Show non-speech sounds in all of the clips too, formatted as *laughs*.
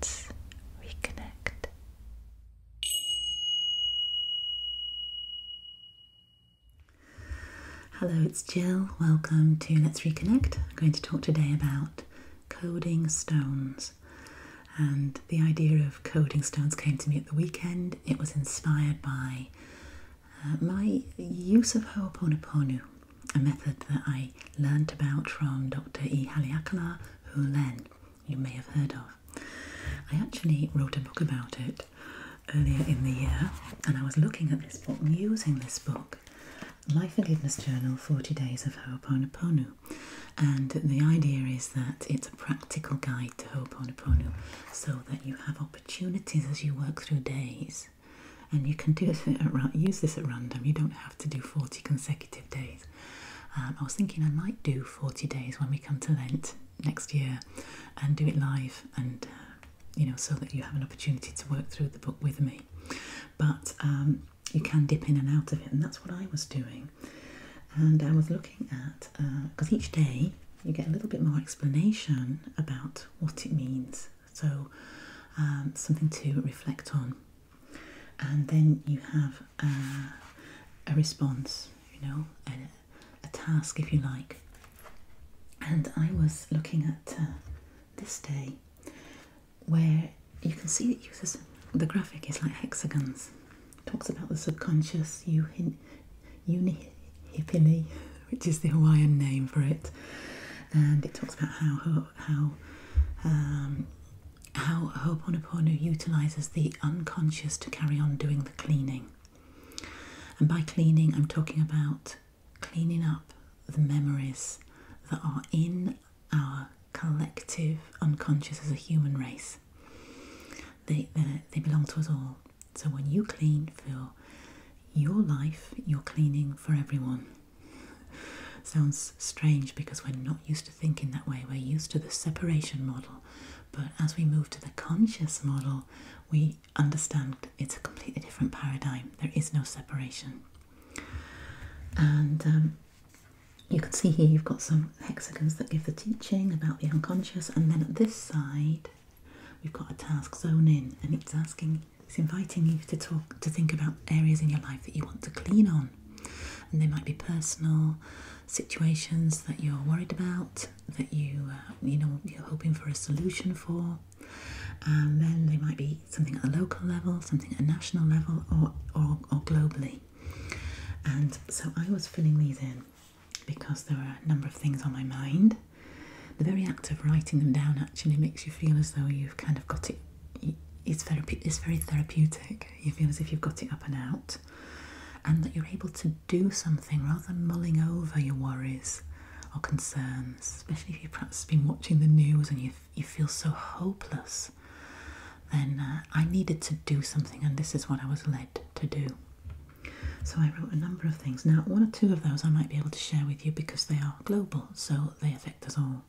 Let's reconnect. Hello, it's Jill. Welcome to Let's Reconnect. I'm going to talk today about coding stones. And the idea of coding stones came to me at the weekend. It was inspired by uh, my use of Ho'oponopono a method that I learnt about from Dr. E. Haleakala Hulen, you may have heard of. I actually wrote a book about it earlier in the year, and I was looking at this book using this book, My Forgiveness Journal 40 Days of Ho'oponopono. And the idea is that it's a practical guide to Ho'oponopono so that you have opportunities as you work through days and you can do this at, use this at random. You don't have to do 40 consecutive days. Um, I was thinking I might do 40 days when we come to Lent next year and do it live and uh, you know so that you have an opportunity to work through the book with me but um, you can dip in and out of it and that's what I was doing and I was looking at because uh, each day you get a little bit more explanation about what it means so um, something to reflect on and then you have a, response, you know, a, task if you like. And I was looking at uh, this day where you can see it uses the graphic is like hexagons. It talks about the subconscious unihipili, *laughs* which is the Hawaiian name for it, and it talks about how how um, how Ho'oponopono utilizes the unconscious to carry on doing the cleaning. And by cleaning, I'm talking about cleaning up the memories that are in our collective unconscious as a human race. They, they, they belong to us all. So when you clean for your life, you're cleaning for everyone. *laughs* Sounds strange because we're not used to thinking that way. We're used to the separation model, but as we move to the conscious model, we understand it's a completely different paradigm. There is no separation. And um, you can see here you've got some hexagons that give the teaching about the unconscious, and then at this side, we've got a task zone in, and it's asking it's inviting you to talk to think about areas in your life that you want to clean on. And they might be personal situations that you're worried about, that you uh, you know you're hoping for a solution for. And then they might be something at a local level, something at a national level, or or, globally. And so I was filling these in because there were a number of things on my mind. The very act of writing them down actually makes you feel as though you've kind of got it it's very it's very therapeutic. You feel as if you've got it up and out, and that you're able to do something rather than mulling over your worries or concerns. Especially if you've perhaps been watching the news and you you feel so hopeless. Then uh, I needed to do something, and this is what I was led to do. So I wrote a number of things. Now, one or two of those I might be able to share with you because they are global, so they affect us all.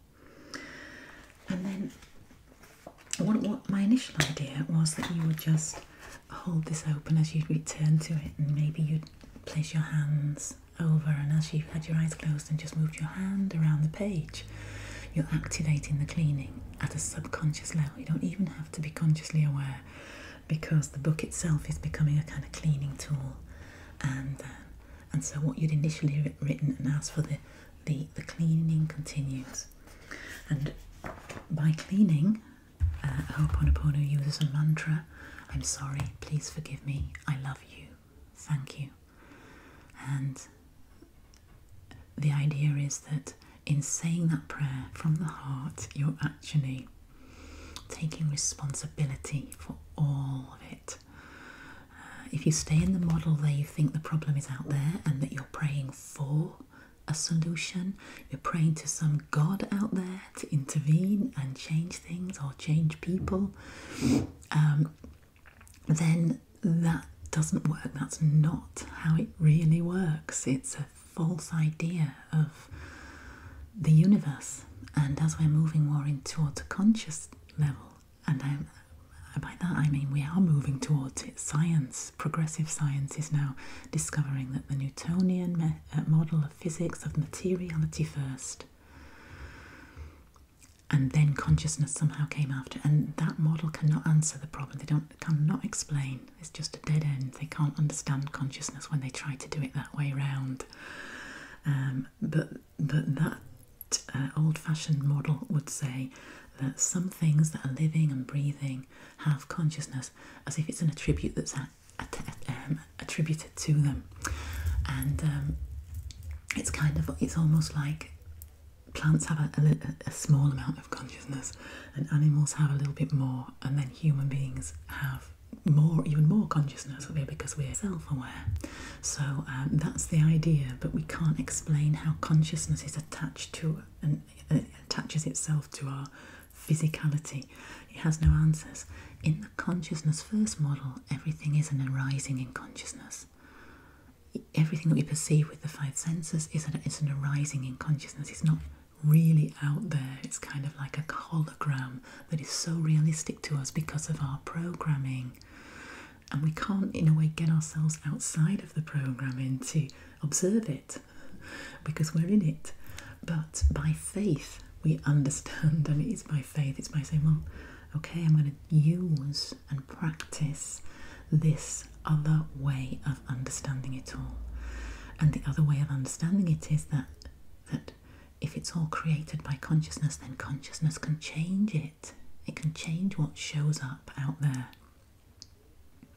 And then what, my initial idea was that you would just hold this open as you return to it, and maybe you'd place your hands over, and as you had your eyes closed and just moved your hand around the page, you're activating the cleaning at a subconscious level. You don't even have to be consciously aware because the book itself is becoming a kind of cleaning tool, and uh, and so what you'd initially written and asked for the, the, the cleaning continues. And by cleaning, uh, Ho'oponopono uses a mantra I'm sorry, please forgive me, I love you, thank you. And the idea is that in saying that prayer from the heart, you're actually taking responsibility for all of it if you stay in the model where you think the problem is out there and that you're praying for a solution, you're praying to some God out there to intervene and change things or change people, um, then that doesn't work. That's not how it really works. It's a false idea of the universe. And as we're moving more into towards a conscious level, and by that I mean we are moving towards Science, progressive science, is now discovering that the Newtonian uh, model of physics of materiality first, and then consciousness somehow came after. And that model cannot answer the problem. They don't cannot explain. It's just a dead end. They can't understand consciousness when they try to do it that way round. Um, but but that uh, old fashioned model would say that some things that are living and breathing have consciousness as if it's an attribute that's at, um, attributed to them. And um, it's kind of, it's almost like plants have a, a, small amount of consciousness and animals have a little bit more, and then human beings have more, even more consciousness, because we're self aware. So um, that's the idea, but we can't explain how consciousness is attached to and uh, attaches itself to our physicality. It has no answers. In the consciousness first model, everything is an arising in consciousness. Everything that we perceive with the five senses is an, is an arising in consciousness. It's not really out there. It's kind of like a hologram that is so realistic to us because of our programming and we can't, in a way, get ourselves outside of the programming to observe it because we're in it. But by faith, we understand, and it is by faith, it's by saying, Well, okay, I'm going to use and practice this other way of understanding it all. And the other way of understanding it is that that if it's all created by consciousness, then consciousness can change it it, can change what shows up out there.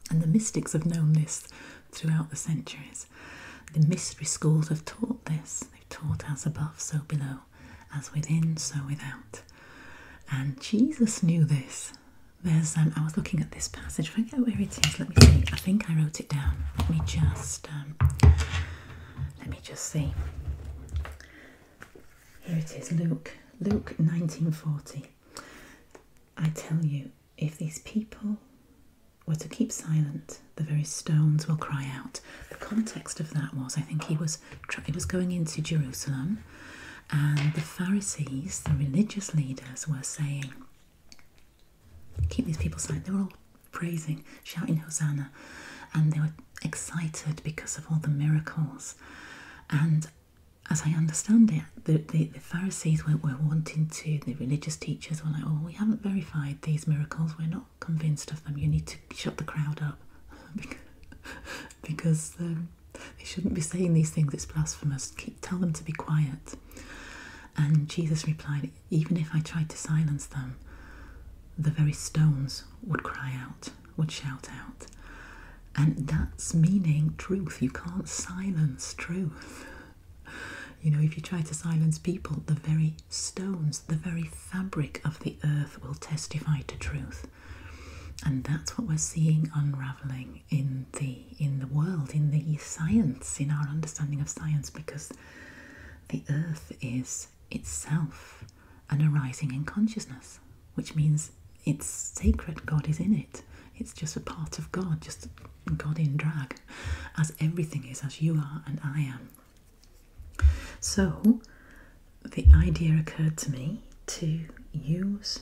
And the mystics have known this throughout the centuries. The mystery schools have taught this. They've taught as above, so below, as within, so without. And Jesus knew this. There's um, I was looking at this passage. I forget where it is. Let me see. I think I wrote it down. Let me just um, let me just see. Here it is, Luke. Luke 1940. I tell you, if these people were to keep silent, the very stones will cry out. The context of that was, I think he was he was going into Jerusalem, and the Pharisees, the religious leaders, were saying, "Keep these people silent." They were all praising, shouting Hosanna, and they were excited because of all the miracles. And as I understand it, the, the, Pharisees were, were wanting to, the religious teachers were like, oh, we haven't verified these miracles, we're not convinced of them, you need to shut the crowd up *laughs* because um, they shouldn't be saying these things, it's blasphemous, tell them to be quiet. And Jesus replied, even if I tried to silence them, the very stones would cry out would shout out. And that's meaning truth. You can't silence truth. You know, if you try to silence people, the very stones, the very fabric of the earth will testify to truth. And that's what we're seeing unraveling in the in the world, in the science, in our understanding of science, because the earth is itself an arising in consciousness, which means it's sacred, God is in it. It's just a part of God, just God in drag, as everything is, as you are and I am. So, the idea occurred to me to use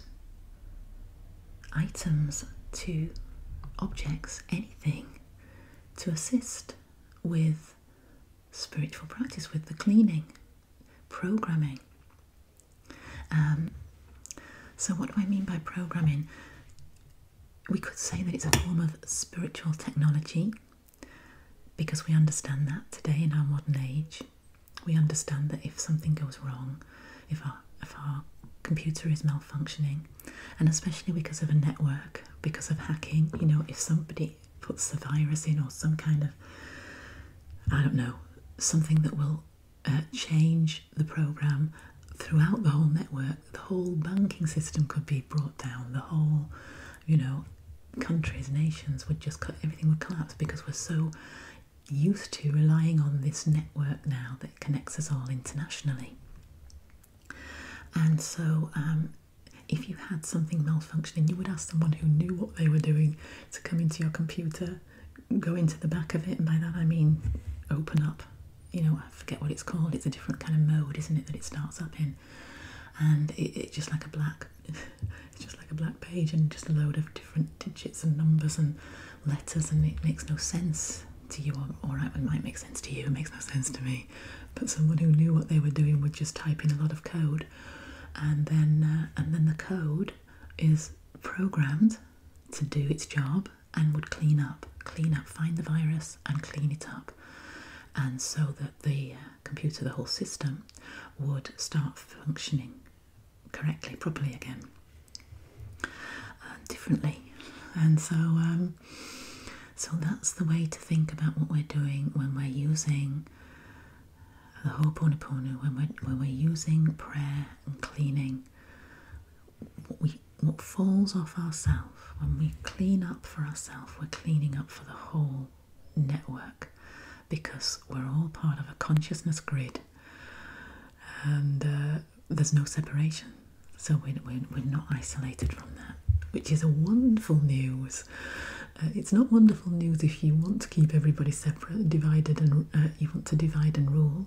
items to objects, anything, to assist with spiritual practice with the cleaning, programming. Um, so, what do I mean by programming? We could say that it's a form of spiritual technology because we understand that today in our modern age. We understand that if something goes wrong, if our, if our computer is malfunctioning, and especially because of a network, because of hacking, you know, if somebody puts the virus in or some kind of, I don't know, something that will uh, change the program throughout the whole network. The whole banking system could be brought down. The whole, you know, countries, nations would just, everything would collapse because we're so used to relying on this network now that connects us all internationally. And so um, if you had something malfunctioning, you would ask someone who knew what they were doing to come into your computer, go into the back of it, and by that I mean open up. You know, I forget what it's called. It's a different kind of mode, isn't it, that it starts up in, and it's just like a black, *laughs* it's just like a black page, and just a load of different digits and numbers and letters, and it makes no sense to you. All right, it might make sense to you. It makes no sense to me, but someone who knew what they were doing would just type in a lot of code and then uh, and then the code is programmed to do its job and would clean up, clean up, find the virus and clean it up, and so that the uh, computer, the whole system, would start functioning correctly, properly again, differently, and so. Um, so that's the way to think about what we're doing when we're using the Ho'oponopono, when we're, when we're using prayer and cleaning, what, falls off ourselves, when we clean up for ourselves, we're cleaning up for the whole network because we're all part of a consciousness grid and uh, there's no separation. So we're, we're, we're not isolated from that, which is a wonderful news uh, it's not wonderful news if you want to keep everybody separate, divided, and uh, you want to divide and rule.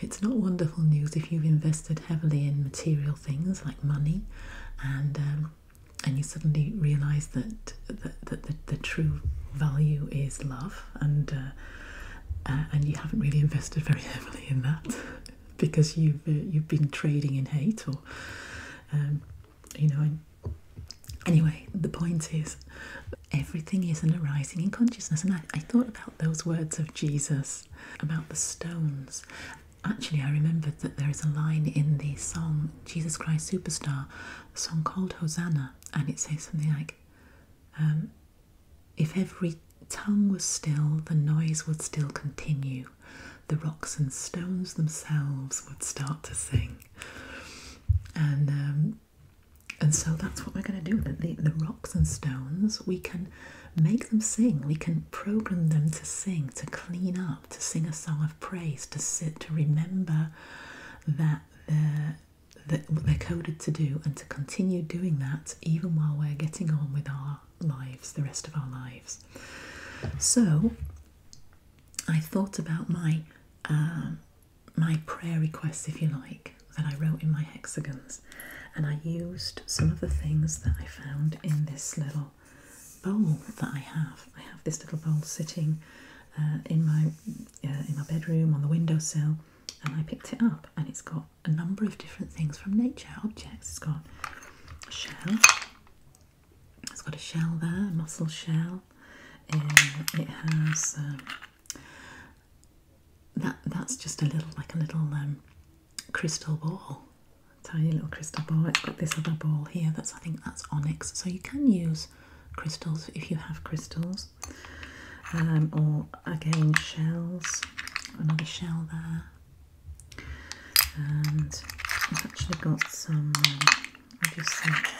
It's not wonderful news if you've invested heavily in material things like money, and um, and you suddenly realise that that, the, the true value is love, and uh, and you haven't really invested very heavily in that *laughs* because you've you've been trading in hate or. Um, you know. Anyway, the point is, everything is an arising in consciousness. And I, thought about those words of Jesus about the stones. Actually, I remembered that there is a line in the song Jesus Christ Superstar, a song called Hosanna, and it says something like, um, If every tongue was still, the noise would still continue the rocks and stones themselves would start to sing. And um, and so that's what we're going to do. The, the, the rocks and stones, we can make them sing. We can program them to sing, to clean up, to sing a song of praise, to sit, to remember that they're, that they're coded to do and to continue doing that even while we're getting on with our lives, the rest of our lives. So I thought about my um, my prayer requests, if you like, that I wrote in my hexagons, and I used some of the things that I found in this little bowl that I have. I have this little bowl sitting uh, in my uh, in my bedroom on the windowsill, and I picked it up, and it's got a number of different things from nature objects. It's got a shell, it's got a shell there, a mussel shell. and um, it has um, that. That's just a little, like a little um, crystal ball, tiny little crystal ball. It's got this other ball here. That's I think that's onyx. So you can use crystals if you have crystals, or again shells. Another shell there, and I've actually got some. I just think,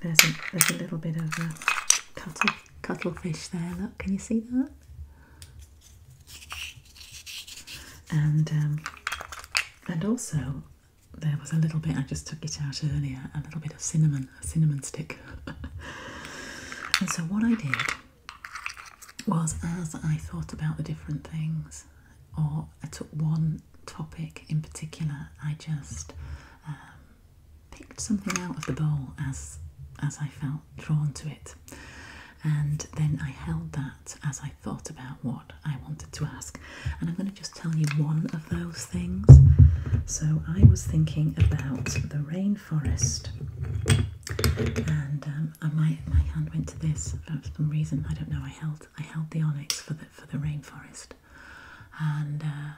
there's a, there's a little bit of a cuttle, cuttlefish there. Look, can you see that? And um, and also there was a little bit. I just took it out earlier. A little bit of cinnamon, a cinnamon stick. *laughs* and so what I did was as I thought about the different things or I took one topic in particular. I just um, picked something out of the bowl as as I felt drawn to it, and then I held that as I thought about what I wanted to ask. And I'm going to just tell you one of those things. So I was thinking about the rainforest, and um, I, my my hand went to this for some reason. I don't know. I held I held the onyx for the for the rainforest, and uh,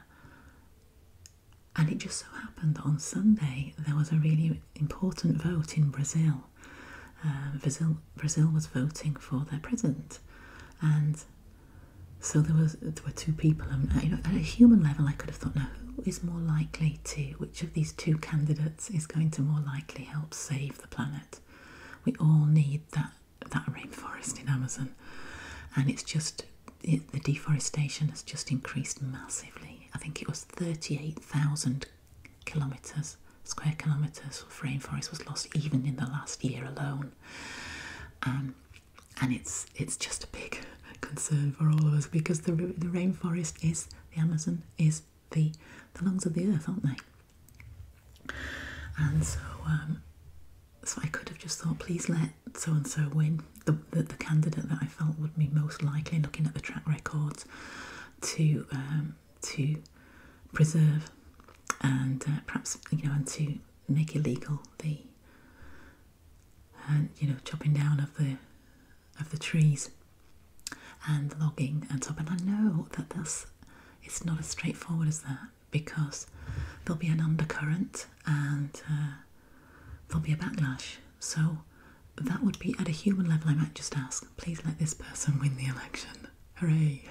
and it just so happened that on Sunday there was a really important vote in Brazil. Uh, Brazil Brazil was voting for their president, and so there was there were two people. And you know, at a human level, I could have thought, now who is more likely to? Which of these two candidates is going to more likely help save the planet? We all need that that rainforest in Amazon, and it's just the deforestation has just increased massively. I think it was thirty-eight thousand square kilometers of rainforest was lost even in the last year alone. Um, and it's it's just a big *laughs* concern for all of us because the the rainforest is the Amazon is the, the lungs of the earth, aren't they? And so, um, so I could have just thought, please let so and so win. The, the, candidate that I felt would be most likely, looking at the track record to um, to preserve and uh, perhaps you know, and to make illegal the and uh, you know chopping down of the of the trees and logging and so on. And I know that this it's not as straightforward as that because there'll be an undercurrent and uh, there'll be a backlash. So that would be at a human level. I might just ask, please let this person win the election. Hooray!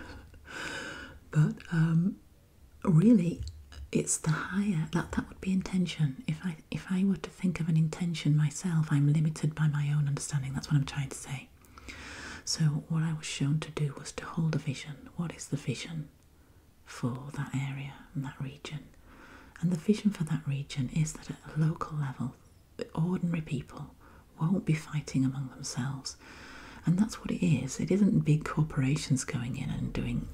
*laughs* but um, really, it's the higher that that would be intention. If I if I were to think of an intention myself, I'm limited by my own understanding. That's what I'm trying to say so what I was shown to do was to hold a vision. What is the vision for that area and that region? And the vision for that region is that at a local level, the ordinary people won't be fighting among themselves. And that's what it is. It isn't big corporations going in and doing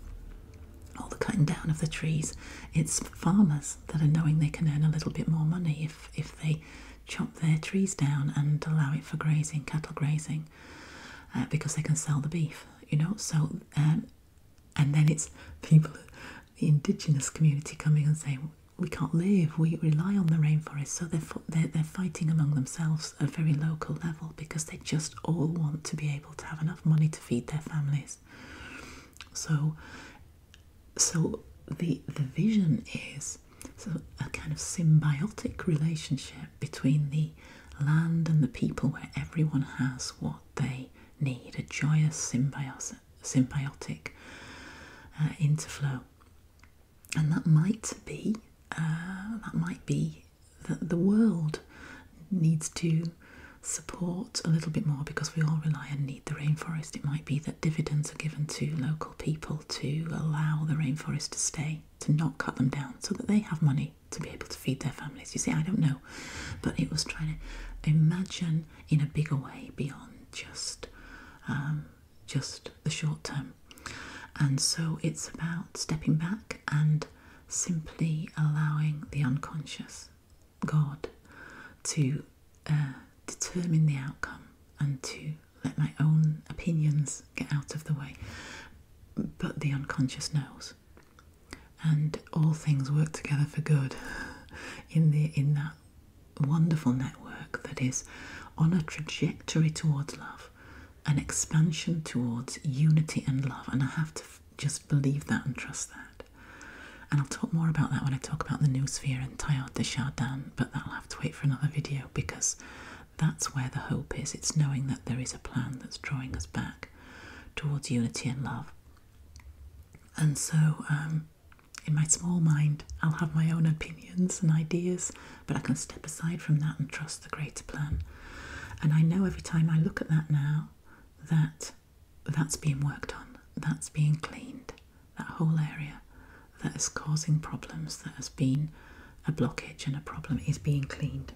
all the cutting down of the trees. It's farmers that are knowing they can earn a little bit more money if, if they chop their trees down and allow it for grazing, cattle grazing, uh, because they can sell the beef, you know. So, um, and then it's people, the indigenous community coming and saying, we can't live, we rely on the rainforest. So they're, they're, fighting among themselves at very local level because they just all want to be able to have enough money to feed their families. So so the the vision is so a kind of symbiotic relationship between the land and the people where everyone has what they need a joyous symbiotic uh, interflow and that might be uh, that might be that the world needs to support a little bit more because we all rely and need the rainforest it might be that dividends are given to local people to allow the rainforest to stay, to not cut them down, so that they have money to be able to feed their families. You see, I don't know, but it was trying to imagine in a bigger way beyond just um, just the short term. And so it's about stepping back and simply allowing the unconscious God to uh, determine the outcome and to let my own opinions get out of the way. But the unconscious knows. And all things work together for good in the in that wonderful network that is on a trajectory towards love, an expansion towards unity and love. And I have to just believe that and trust that. And I'll talk more about that when I talk about the new sphere and Teilhard de but that'll to wait for another video because that's where the hope is. It's knowing that there is a plan that's drawing us back towards unity and love. And so, um, in my small mind, I'll have my own opinions and ideas, but I can step aside from that and trust the greater plan. And I know every time I look at that now that that's being worked on, that's being cleaned, that whole area that is causing problems, that has been a blockage and a problem, is being cleaned.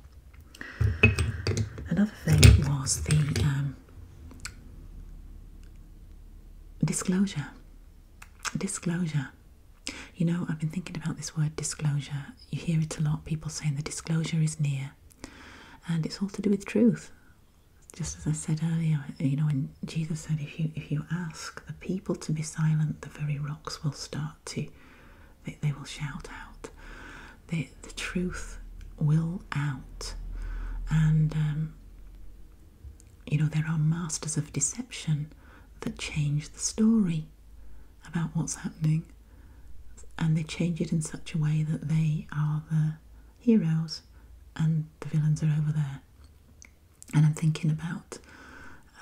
Another thing was the um, disclosure. Disclosure. You know, I've been thinking about this word disclosure. You hear it a lot, people saying the disclosure is near. And it's all to do with truth. Just as I said earlier, you know, when Jesus said, if you, if you ask, the people to be silent, the very rocks will start to, they, will shout out. The, the truth will out. And, um, you know, there are masters of deception that change the story about what's happening. And they change it in such a way that they are the heroes and the villains are over there. And I'm thinking about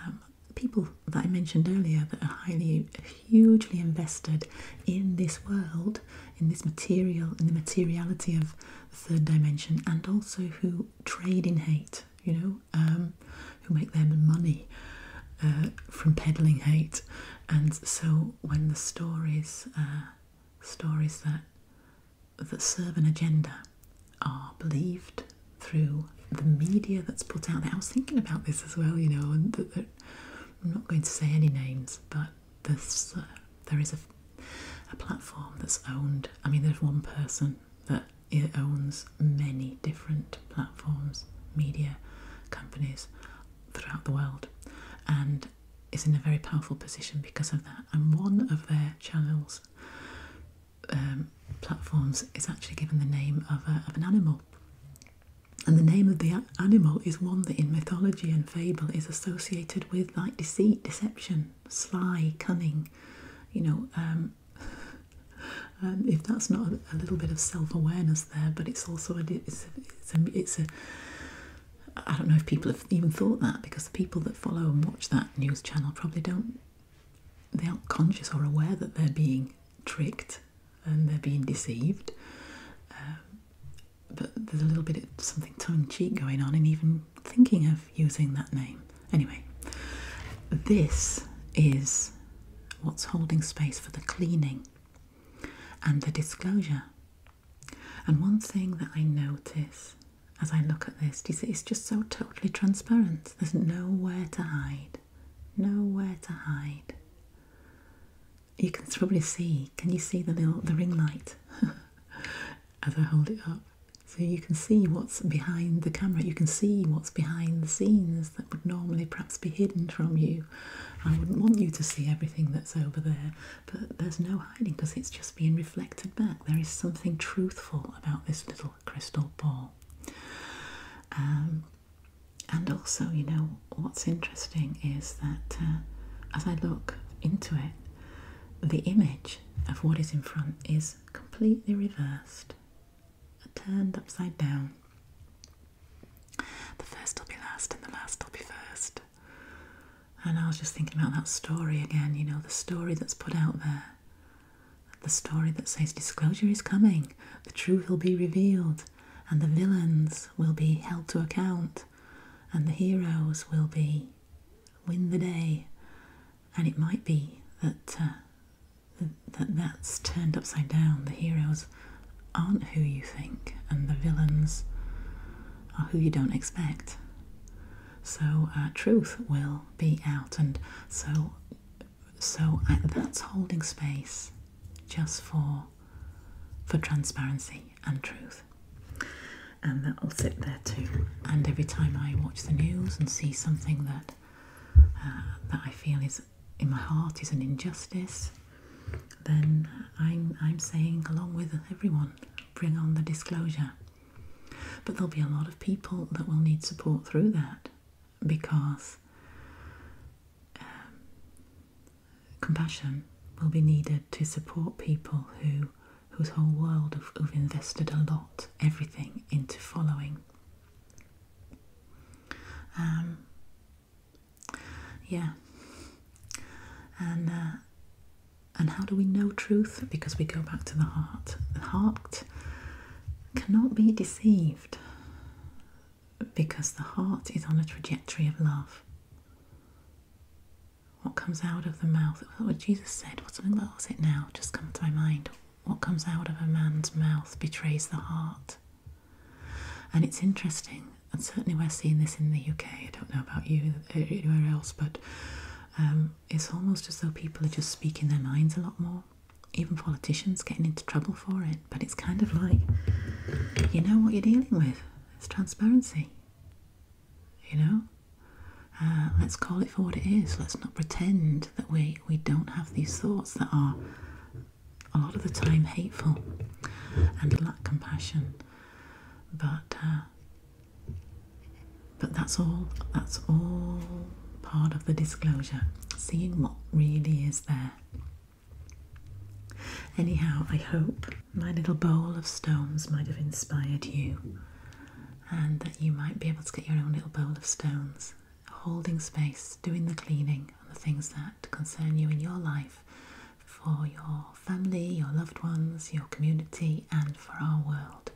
um, people that I mentioned earlier that are highly, hugely invested in this world, in this material, in the materiality of the third dimension, and also who trade in hate, you know, um, who make their money uh, from peddling hate. And so when the stories, uh, stories that that serve an agenda are believed through the media that's put out there. I was thinking about this as well, you know, and I'm not going to say any names, but there's, uh, there is a, a platform that's owned. I mean, there's one person that owns many different platforms, media companies throughout the world, and is in a very powerful position because of that. And one of their channels um, platforms, is actually given the name of, of an animal. And the name of the animal is one that in mythology and fable is associated with like deceit, deception, sly, cunning. You know, um, *laughs* um, if that's not a, little bit of self awareness there, but it's also it's it's a I don't know if people have even thought that because the people that follow and watch that news channel probably don't they aren't conscious or aware that they're being tricked and they're being deceived. Um, but there's a little bit of something tongue-in-cheek going on in even thinking of using that name. Anyway, this is what's holding space for the cleaning and the disclosure. And one thing that I notice as I look at this. Do you see? It's just so totally transparent. There's nowhere to hide. Nowhere to hide. You can probably see. Can you see the little the ring light *laughs* as I hold it up? So you can see what's behind the camera. You can see what's behind the scenes that would normally perhaps be hidden from you. I wouldn't want you to see everything that's over there, but there's no hiding because it's just being reflected back. There is something truthful about this little crystal ball. Um, and also, you know, what's interesting is that uh, as I look into it, the image of what is in front is completely reversed, turned upside down. The first will be last, and the last will be first. And I was just thinking about that story again, you know, the story that's put out there the story that says disclosure is coming, the truth will be revealed, and the villains will be held to account, and the heroes will be win the day. And it might be that uh, that that's turned upside down. The heroes aren't who you think, and the villains are who you don't expect. So uh, truth will be out, and so so that's holding space just for for transparency and truth, and that'll sit there too. And every time I watch the news and see something that uh, that I feel is in my heart is an injustice, then I'm I'm saying along with everyone, bring on the disclosure. But there'll be a lot of people that will need support through that because um, compassion will be needed to support people who whose whole world have, invested a lot, everything into following. Um, yeah. And uh, and how do we know truth? Because we go back to the heart. The heart cannot be deceived because the heart is on a trajectory of love. What comes out of the mouth, what oh, Jesus said, what was it now, just comes to my mind. What comes out of a man's mouth betrays the heart. And it's interesting, and certainly we're seeing this in the UK. I don't know about you uh, anywhere else, but um, it's almost as though people are just speaking their minds a lot more. Even politicians getting into trouble for it. But it's kind of like you know what you're dealing with. It's transparency. You know? Uh, let's call it for what it is. Let's not pretend that we, we don't have these thoughts that are a lot of the time hateful and lack compassion. But uh, but that's all, that's all part of the disclosure, seeing what really is there. Anyhow, I hope my little bowl of stones might have inspired you and that you might be able to get your own little bowl of stones, holding space, doing the cleaning and the things that concern you in your life for your family, your loved ones, your community, and for our world.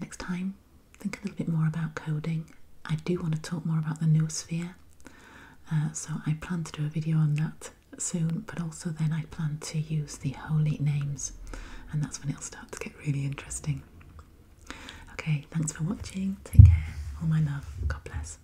Next time, think a little bit more about coding. I do want to talk more about the noosphere, sphere, uh, so I plan to do a video on that soon, but also then I plan to use the holy names, and that's when it'll start to get really interesting. Okay, thanks for watching. Take care. All my love. God bless.